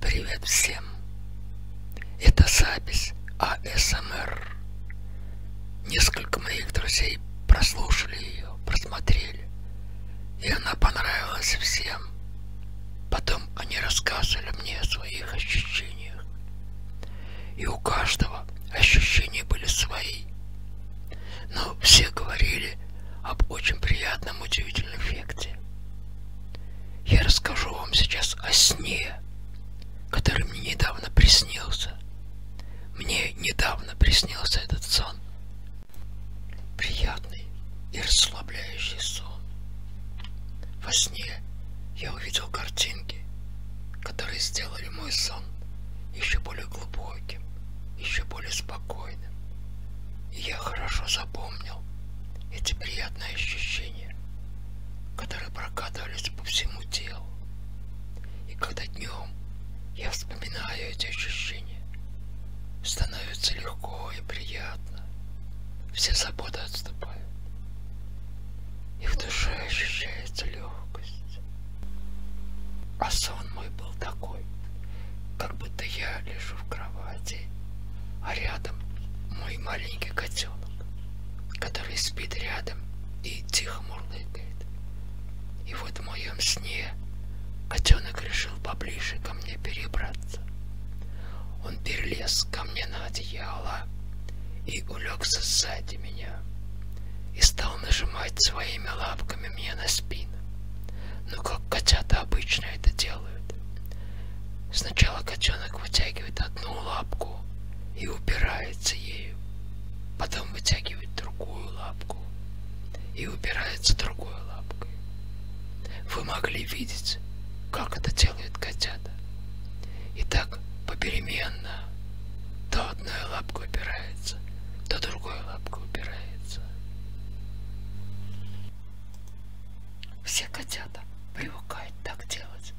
Привет всем! Это запись АСМР. Несколько моих друзей прослушали ее, просмотрели. И она понравилась всем. Потом они рассказывали мне о своих ощущениях. И у каждого ощущения были свои. Но все говорили об очень приятном удивительном эффекте. Я расскажу вам сейчас о сне, который мне недавно приснился. Мне недавно приснился этот сон. Приятный и расслабляющий сон. Во сне я увидел картинки, которые сделали мой сон еще более глубоким, еще более спокойным. И я хорошо запомнил эти приятные ощущения, которые прокатывались по всему телу. И когда днем я вспоминаю эти ощущения, становится легко и приятно. Все заботы отступают. И в душе ощущается легкость. А сон мой был такой, как будто я лежу в кровати, а рядом мой маленький котенок, который спит рядом и тихо мурлыкает. И вот в моем сне котенок решил поближе ко мне перебраться. Он перелез ко мне на одеяло и улегся сзади меня и стал нажимать своими лапками мне на спину. Но ну, как котята обычно это делают, делают. Сначала котенок вытягивает одну лапку и упирается ею. Потом вытягивает другую лапку и упирается другой лапкой. Вы могли видеть, как это делают котята. И так попеременно то одной лапкой упирается, то другой лапкой упирается нравится. Все котята привыкают так делать,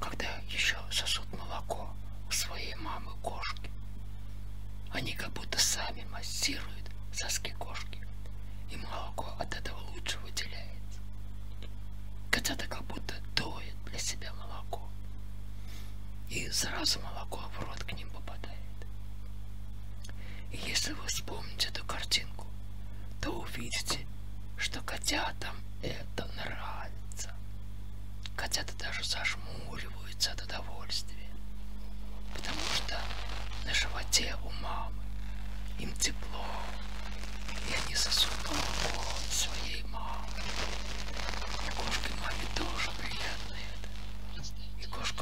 когда еще сосут молоко у своей мамы кошки. Они как будто сами массируют соски кошки, и молоко от этого лучше выделяется. Котята как будто доят для себя молоко, и сразу молоко в рот к ним попадает. И если вы вспомните эту картинку, то увидите, что котятам это нравится. Котята даже зажмуриваются от удовольствия, потому что на животе у мамы им тепло, и они сосут молоко своей мамы. И кошке маме тоже приятно это. И кошка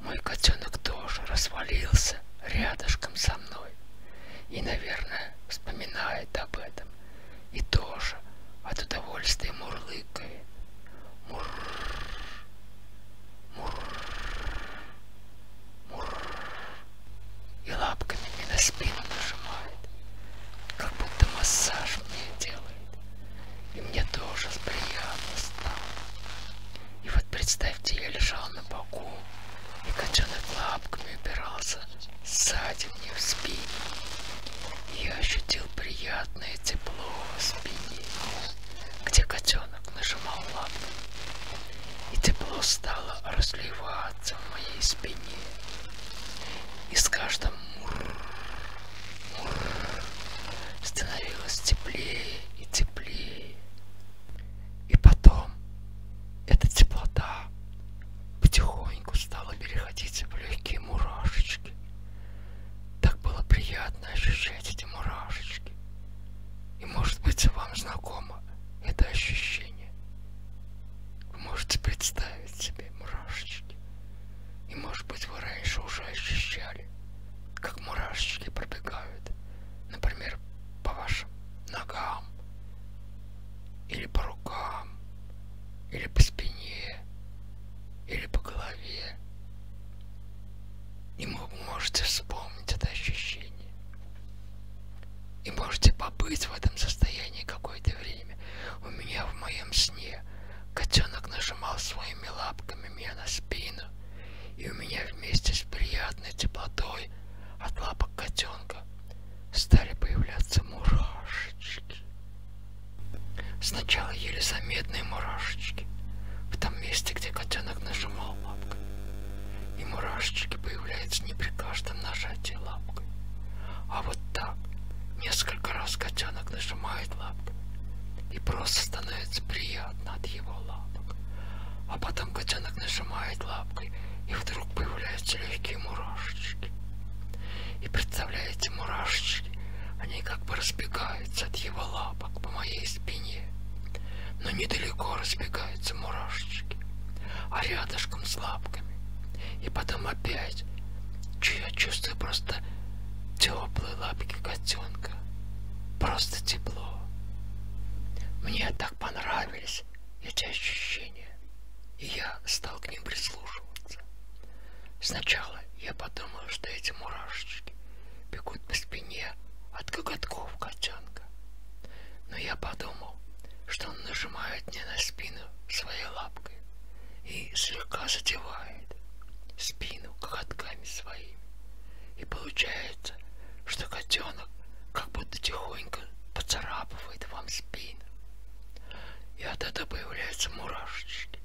мой котенок тоже развалился рядышком со мной и, наверное, вспоминает об этом и тоже от удовольствия мурлыкает. Мур, мур, мур. И лапками мне на спину нажимает, как будто массаж мне делает. И мне тоже приятно стало. И вот представьте, я лежал на боку, и котенок лапками упирался сзади мне в спину. И я ощутил приятное тепло в спине, где котенок нажимал лапками. И тепло стало разливаться в моей спине. И с каждым мур Становилось теплее и теплее. И потом эта теплота потихоньку стала переходить в легкие мурашечки. Так было приятно ощущать эти мурашечки. И может быть вам знакомо это ощущение. Вы можете представить себе мурашечки. И может быть вы раньше уже ощущали, как мурашечки пробегают, например, по вашим ногам, или по рукам, или по спине, или по голове. И вы можете вспомнить это ощущение. И можете побыть в этом состоянии какое-то время. У меня в моем сне Котенок нажимал своими лапками мне на спину, и у меня вместе с приятной теплотой от лапок котенка стали появляться мурашечки. Сначала еле заметные мурашечки в том месте, где котенок нажимал лапкой. И мурашечки появляются не при каждом нажатии лапкой, а вот так. Несколько раз котенок нажимает лапкой и просто становится приятно от его лапок. А потом котенок нажимает лапкой, и вдруг появляются легкие мурашечки. И представляете, мурашечки, они как бы разбегаются от его лапок по моей спине. Но недалеко разбегаются мурашечки, а рядышком с лапками. И потом опять. Че я чувствую просто теплые лапки котенка. Просто тепло. Мне так понравились эти ощущения. И я стал к ним прислушиваться. Сначала я подумал, что эти мурашечки бегут по спине от коготков котенка. Но я подумал, что он нажимает мне на спину своей лапкой и слегка задевает спину коготками своими. И получается, что котенок как будто тихонько поцарапывает вам спину. И от этого появляются мурашечки.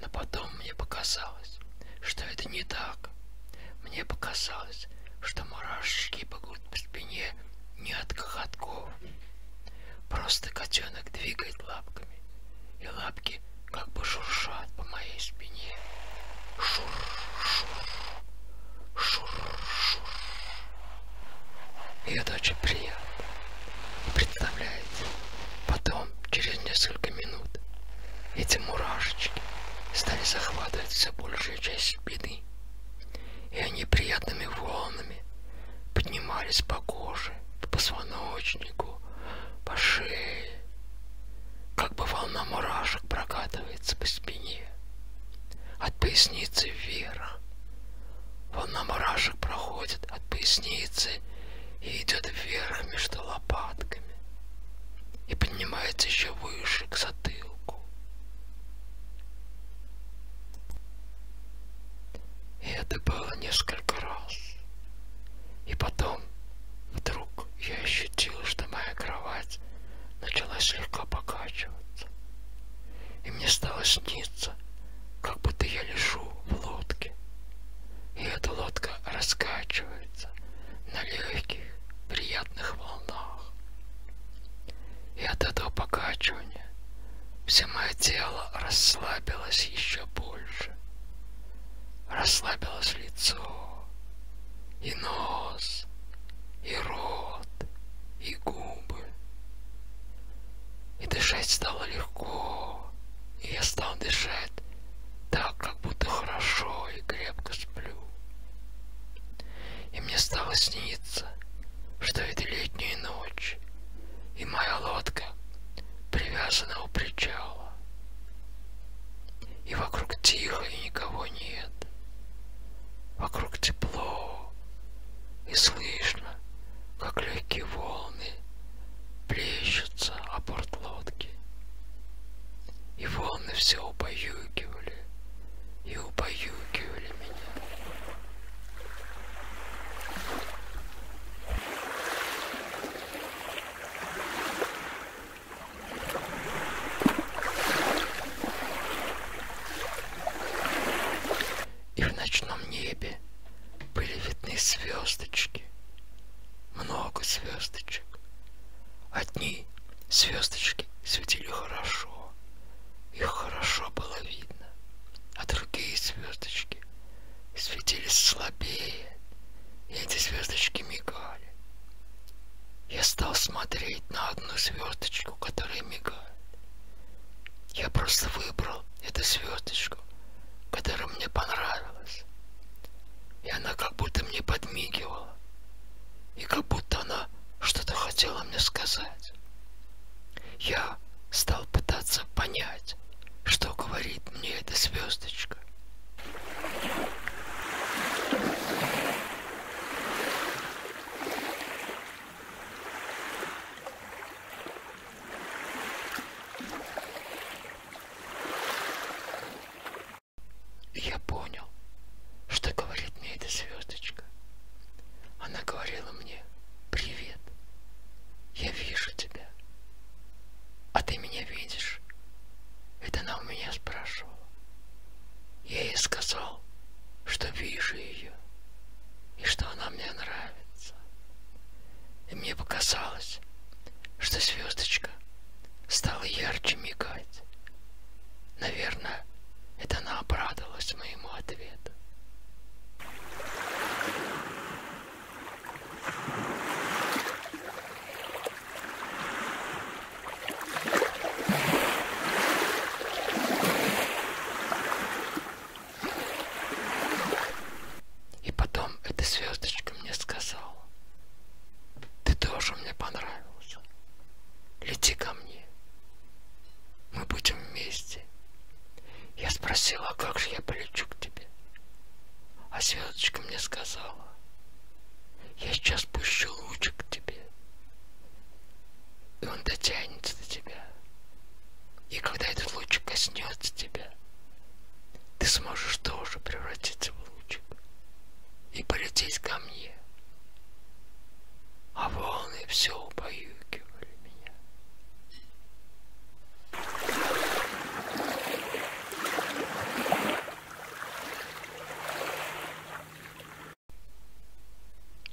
Но потом мне показалось, что это не так. Мне показалось, что мурашечки бегут по спине не от коготков, Просто котенок двигает лапками, и лапки как бы шуршат по моей спине. Шур, шур, шур, шур. И это очень приятно. Представляете, потом, через несколько минут, эти мурашечки стали захватывать все большую часть спины и они приятными волнами поднимались по коже, по позвоночнику, по шее, как бы волна мурашек прокатывается по спине, от поясницы вверх. Волна мурашек проходит от поясницы и идет вверх между лопатками и поднимается еще выше к затылку. И это было несколько раз. И потом вдруг я ощутил, что моя кровать начала слегка покачиваться. И мне стало сниться, как будто я лежу в лодке. И эта лодка раскачивается на легких, приятных волнах и от этого покачивания все мое тело расслабилось еще больше. Расслабилось лицо, и нос, и рот, и губы. И дышать стало легко, и я стал дышать так, как будто хорошо и крепко сплю. И мне стало сниться, что это летняя ночь, и моя лодка привязана у причала. И вокруг тихо, и никого нет. Вокруг тепло, и слышно, как легкие волны плещутся о борт лодки. И волны все убаюкивали и убаюкивали меня. И в ночном небе были видны звездочки, много звездочек. Одни звездочки светили хорошо, его. Их хорошо было видно, а другие звездочки светились слабее, и эти звездочки мигали. Я стал смотреть на одну звездочку, которая мигает. Я просто выбрал эту звездочку, которая мне понравилась. И она как будто мне подмигивала. И как будто она что-то хотела мне сказать делать. Я стал пытаться понять, что говорит мне эта звездочка я понял, что говорит мне эта звездочка. Она говорила мне, привет, я вижу тебя. А ты меня видишь? Это она у меня спрашивала. Я ей сказал, что вижу ее, и что она мне нравится. И мне показалось, что звездочка стала ярче мигать. Наверное, это она обрадовалась моему ответу. И потом эта звездочка мне сказала, ты тоже мне понравился. Лети ко мне. Мы будем вместе. Я спросила, а как же я полечу к тебе? А Светочка мне сказала, я сейчас пущу лучик к тебе. И он дотянется до тебя. И когда этот лучик коснется тебя, ты сможешь тоже превратиться в лучик и полететь ко мне. А волны все убаюкивали меня.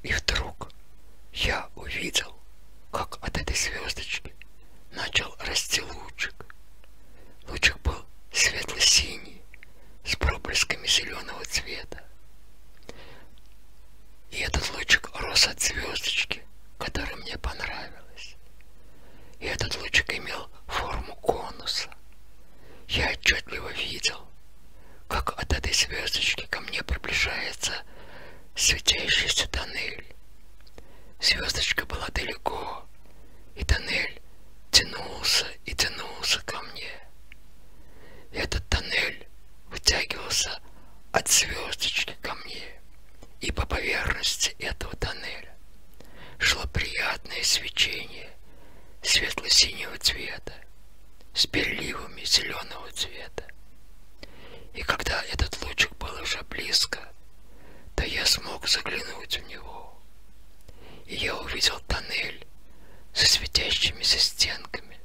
И вдруг я увидел, как от этой звездочки начал расти лучик. Лучик был светло-синий, с проблесками зеленого цвета. И этот лучик рос от звездочки, которая мне понравилась. И этот лучик имел форму конуса. Я отчетливо видел, как от этой звездочки ко мне приближается светящийся тоннель. Звездочка была далеко, и тоннель тянулся и тянулся ко мне. И этот тоннель вытягивался от звездочки ко мне, и по поверхности этого тоннеля шло приятное свечение светло-синего цвета с переливами зеленого цвета. И когда этот лучик был уже близко, да я смог заглянуть в него. И я увидел тоннель со светящимися стенками.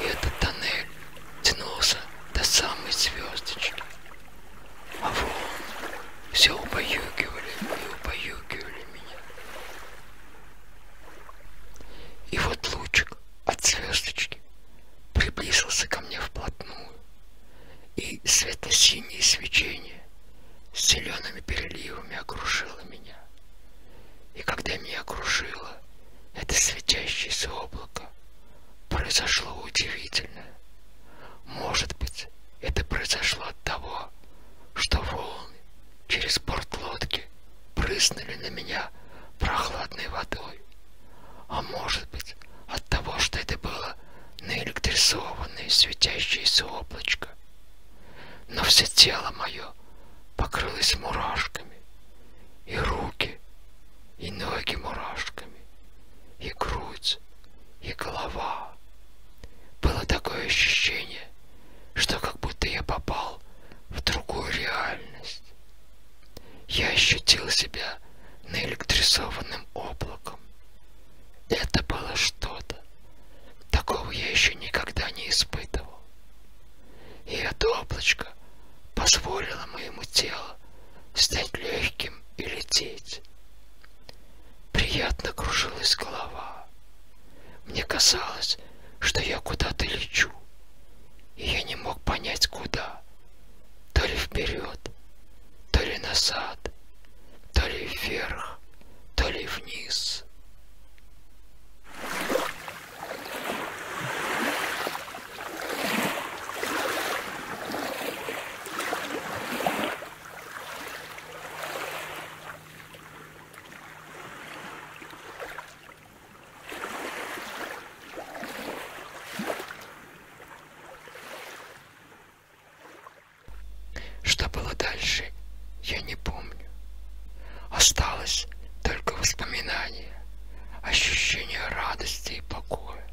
И этот тоннель тянулся до самой звездочки. А вон все убаюкивали и убаюкивали меня. И вот лучик от звездочки приблизился ко мне вплотную и светло-синее свечение с зелеными переливами окружило меня. И когда меня окружило это светящееся облако, произошло удивительное. Может быть, это произошло от того, что волны через борт лодки прыснули на меня прохладной водой. А может быть, от того, что это было наэлектризованное светящееся облачко. Но все тело мое покрылось мурашками, и руки, и ноги мурашками, и грудь, и голова. Было такое ощущение, что как будто я попал в другую реальность. Я ощутил себя наэлектризованным облаком, это было что-то. Такого я еще никогда не испытывал. И это облачко позволило моему телу стать легким и лететь. Приятно кружилась голова. Мне казалось, что я куда-то лечу, и я не мог понять, куда. — то ли вперед, то ли назад, то ли вверх, то ли вниз. Что было дальше, я не помню. Осталось только воспоминание, ощущение радости и покоя.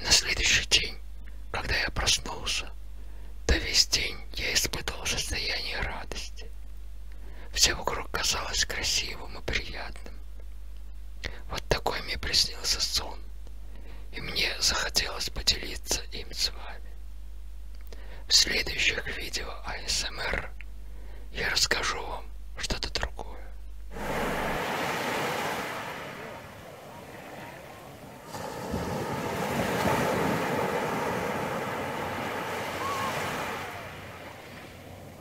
На следующий день, когда я проснулся, то весь день я испытывал состояние радости. Все вокруг казалось красивым и приятным. Вот такой мне приснился сон, и мне захотелось поделиться им с вами. В следующих видео АСМР я расскажу вам что-то другое.